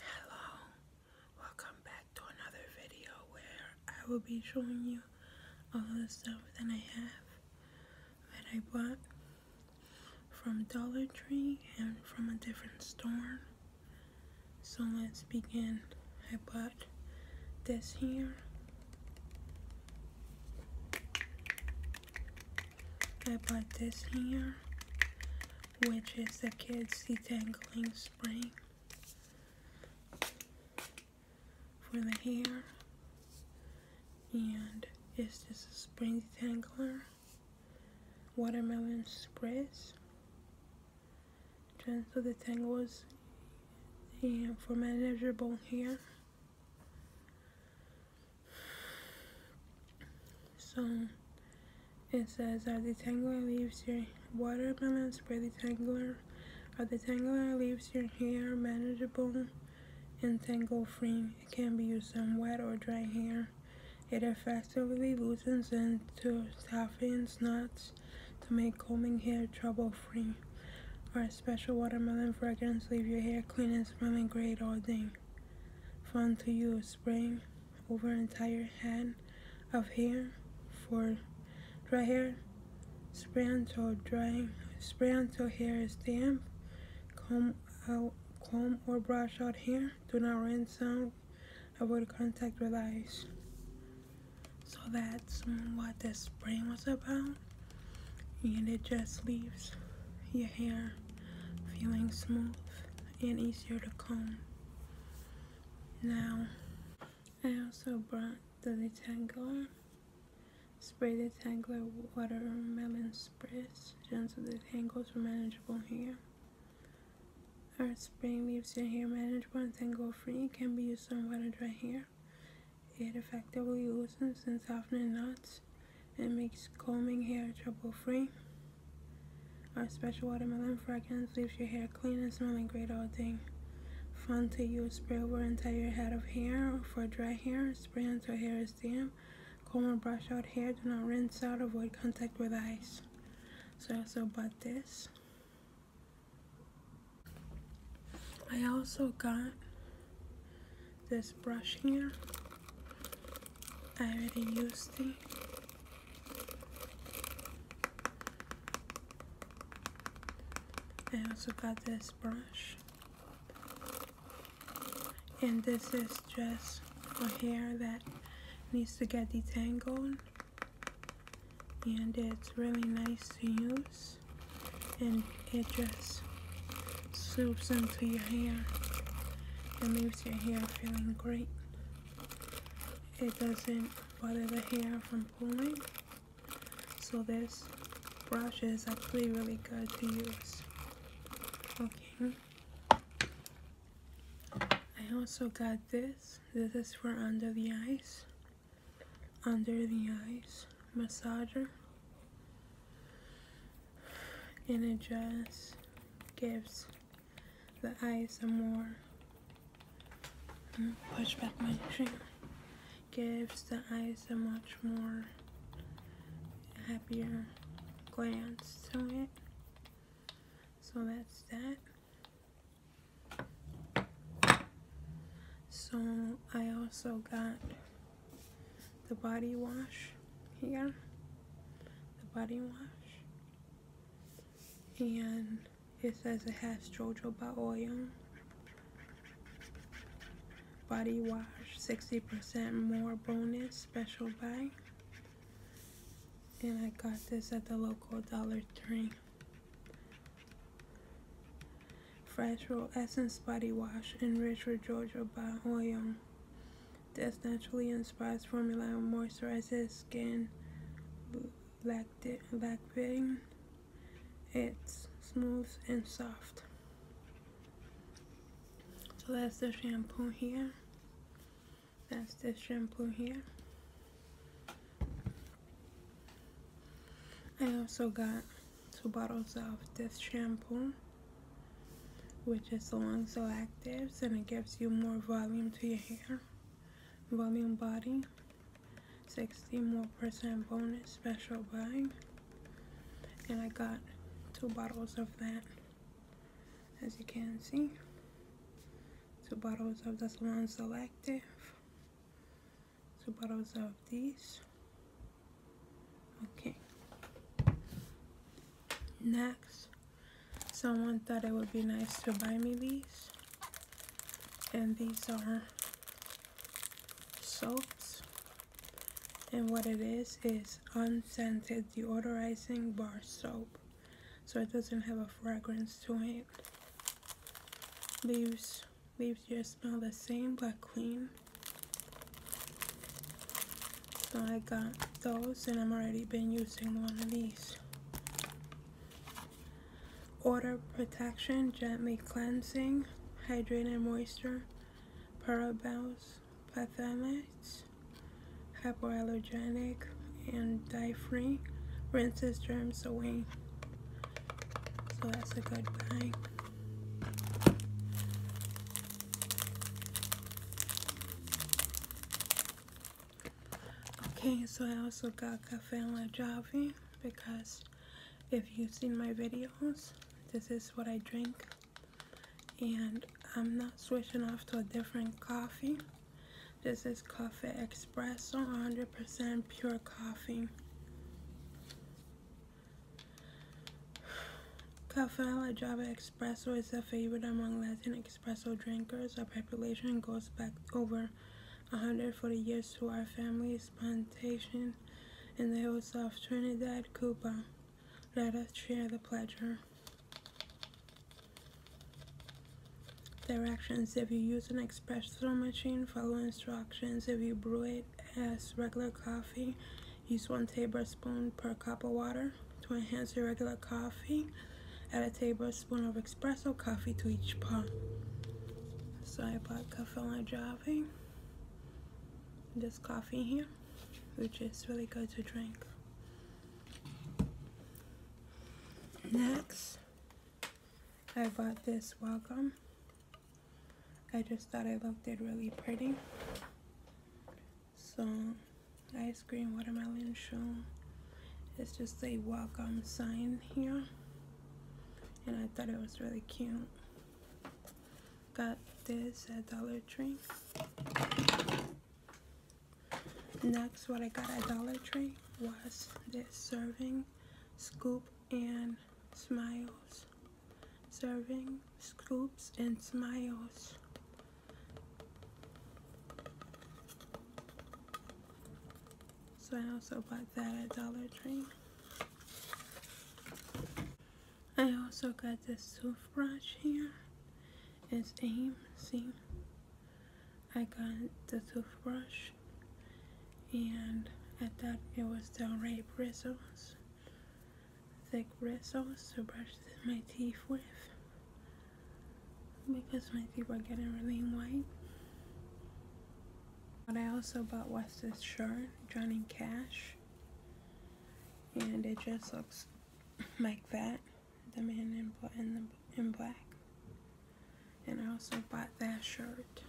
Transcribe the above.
Hello, welcome back to another video where I will be showing you all the stuff that I have that I bought from Dollar Tree and from a different store. So let's begin. I bought this here. I bought this here which is the kids detangling spray for the hair and is this a spring detangler watermelon sprays gentle detangles and for manageable hair so it says, the detangler leaves your watermelon spray detangler. the detangler uh, leaves your hair manageable and tangle-free. It can be used on wet or dry hair. It effectively loosens and softens knots to make combing hair trouble-free. Our special watermelon fragrance leave your hair clean and smelling great all day. Fun to use. Spring over entire hand of hair for dry hair. Spray until drying. Spray until hair is damp. Comb out, comb or brush out hair. Do not rinse out. Avoid contact with eyes. So that's what this spray was about. And it just leaves your hair feeling smooth and easier to comb. Now, I also brought the detangler. Spray the detangler watermelon spritz. Gentle detangles are manageable here. Our spray leaves your hair manageable and tangle free. Can be used on wet or dry hair. It effectively loosens and softens knots it makes combing hair trouble free. Our special watermelon fragrance leaves your hair clean and smelling great all day. Fun to use spray over entire head of hair for dry hair. Spray until hair is damp. Comb or brush out hair. Do not rinse out. Avoid contact with eyes. So I also bought this. I also got this brush here. I already used it. I also got this brush. And this is just for hair that needs to get detangled. And it's really nice to use. And it just soaks into your hair and leaves your hair feeling great. It doesn't bother the hair from pulling. So this brush is actually really good to use. Okay. I also got this. This is for under the eyes. Under the eyes massager and it just gives the eyes a more push back my string gives the eyes a much more happier glance to it so that's that so I also got the body wash here, the body wash, and it says it has jojoba oil, body wash, 60% more bonus, special buy, and I got this at the local Dollar Tree. Fresh Essence Body Wash, enriched with jojoba oil. This naturally inspires formula moisturizes skin lacti lactating. It's smooth and soft. So that's the shampoo here. That's the shampoo here. I also got two bottles of this shampoo which is so and so and it gives you more volume to your hair volume body 60 more percent bonus special buy and I got two bottles of that as you can see two bottles of the salon selective two bottles of these Okay. Next, someone thought it would be nice to buy me these. And these are soaps. And what it is, is unscented deodorizing bar soap. So it doesn't have a fragrance to it. Leaves, leaves your smell the same, but clean. So I got those and i have already been using one of these. Order Protection Gently Cleansing Hydrating Moisture Parabels Pathamides Hypoallergenic and Dye Free Rinses Germs Away. So that's a good thing. Okay, so I also got Cafe La Java because if you've seen my videos, this is what I drink. And I'm not switching off to a different coffee. This is Coffee Espresso, 100% pure coffee. Café La Java Espresso is a favorite among Latin espresso drinkers. Our preparation goes back over 140 years to our family's plantation in the hills of Trinidad, Cuba. Let us share the pleasure. Directions If you use an espresso machine, follow instructions. If you brew it as regular coffee, Use one tablespoon per cup of water to enhance your regular coffee. Add a tablespoon of espresso coffee to each pot. So I bought Cafela Java. this coffee here, which is really good to drink. Next, I bought this Welcome I just thought I looked it really pretty. So, ice cream watermelon show. It's just a welcome sign here. And I thought it was really cute. Got this at Dollar Tree. Next, what I got at Dollar Tree was this serving scoop and smiles serving scoops and smiles. So I also bought that at Dollar Tree. I also got this toothbrush here. It's AIM, see? I got the toothbrush and I thought it was the Ray Bristles thick red sauce to brush my teeth with because my teeth are getting really white. But I also bought was shirt, Johnny Cash, and it just looks like that, the man in, in, the, in black. And I also bought that shirt.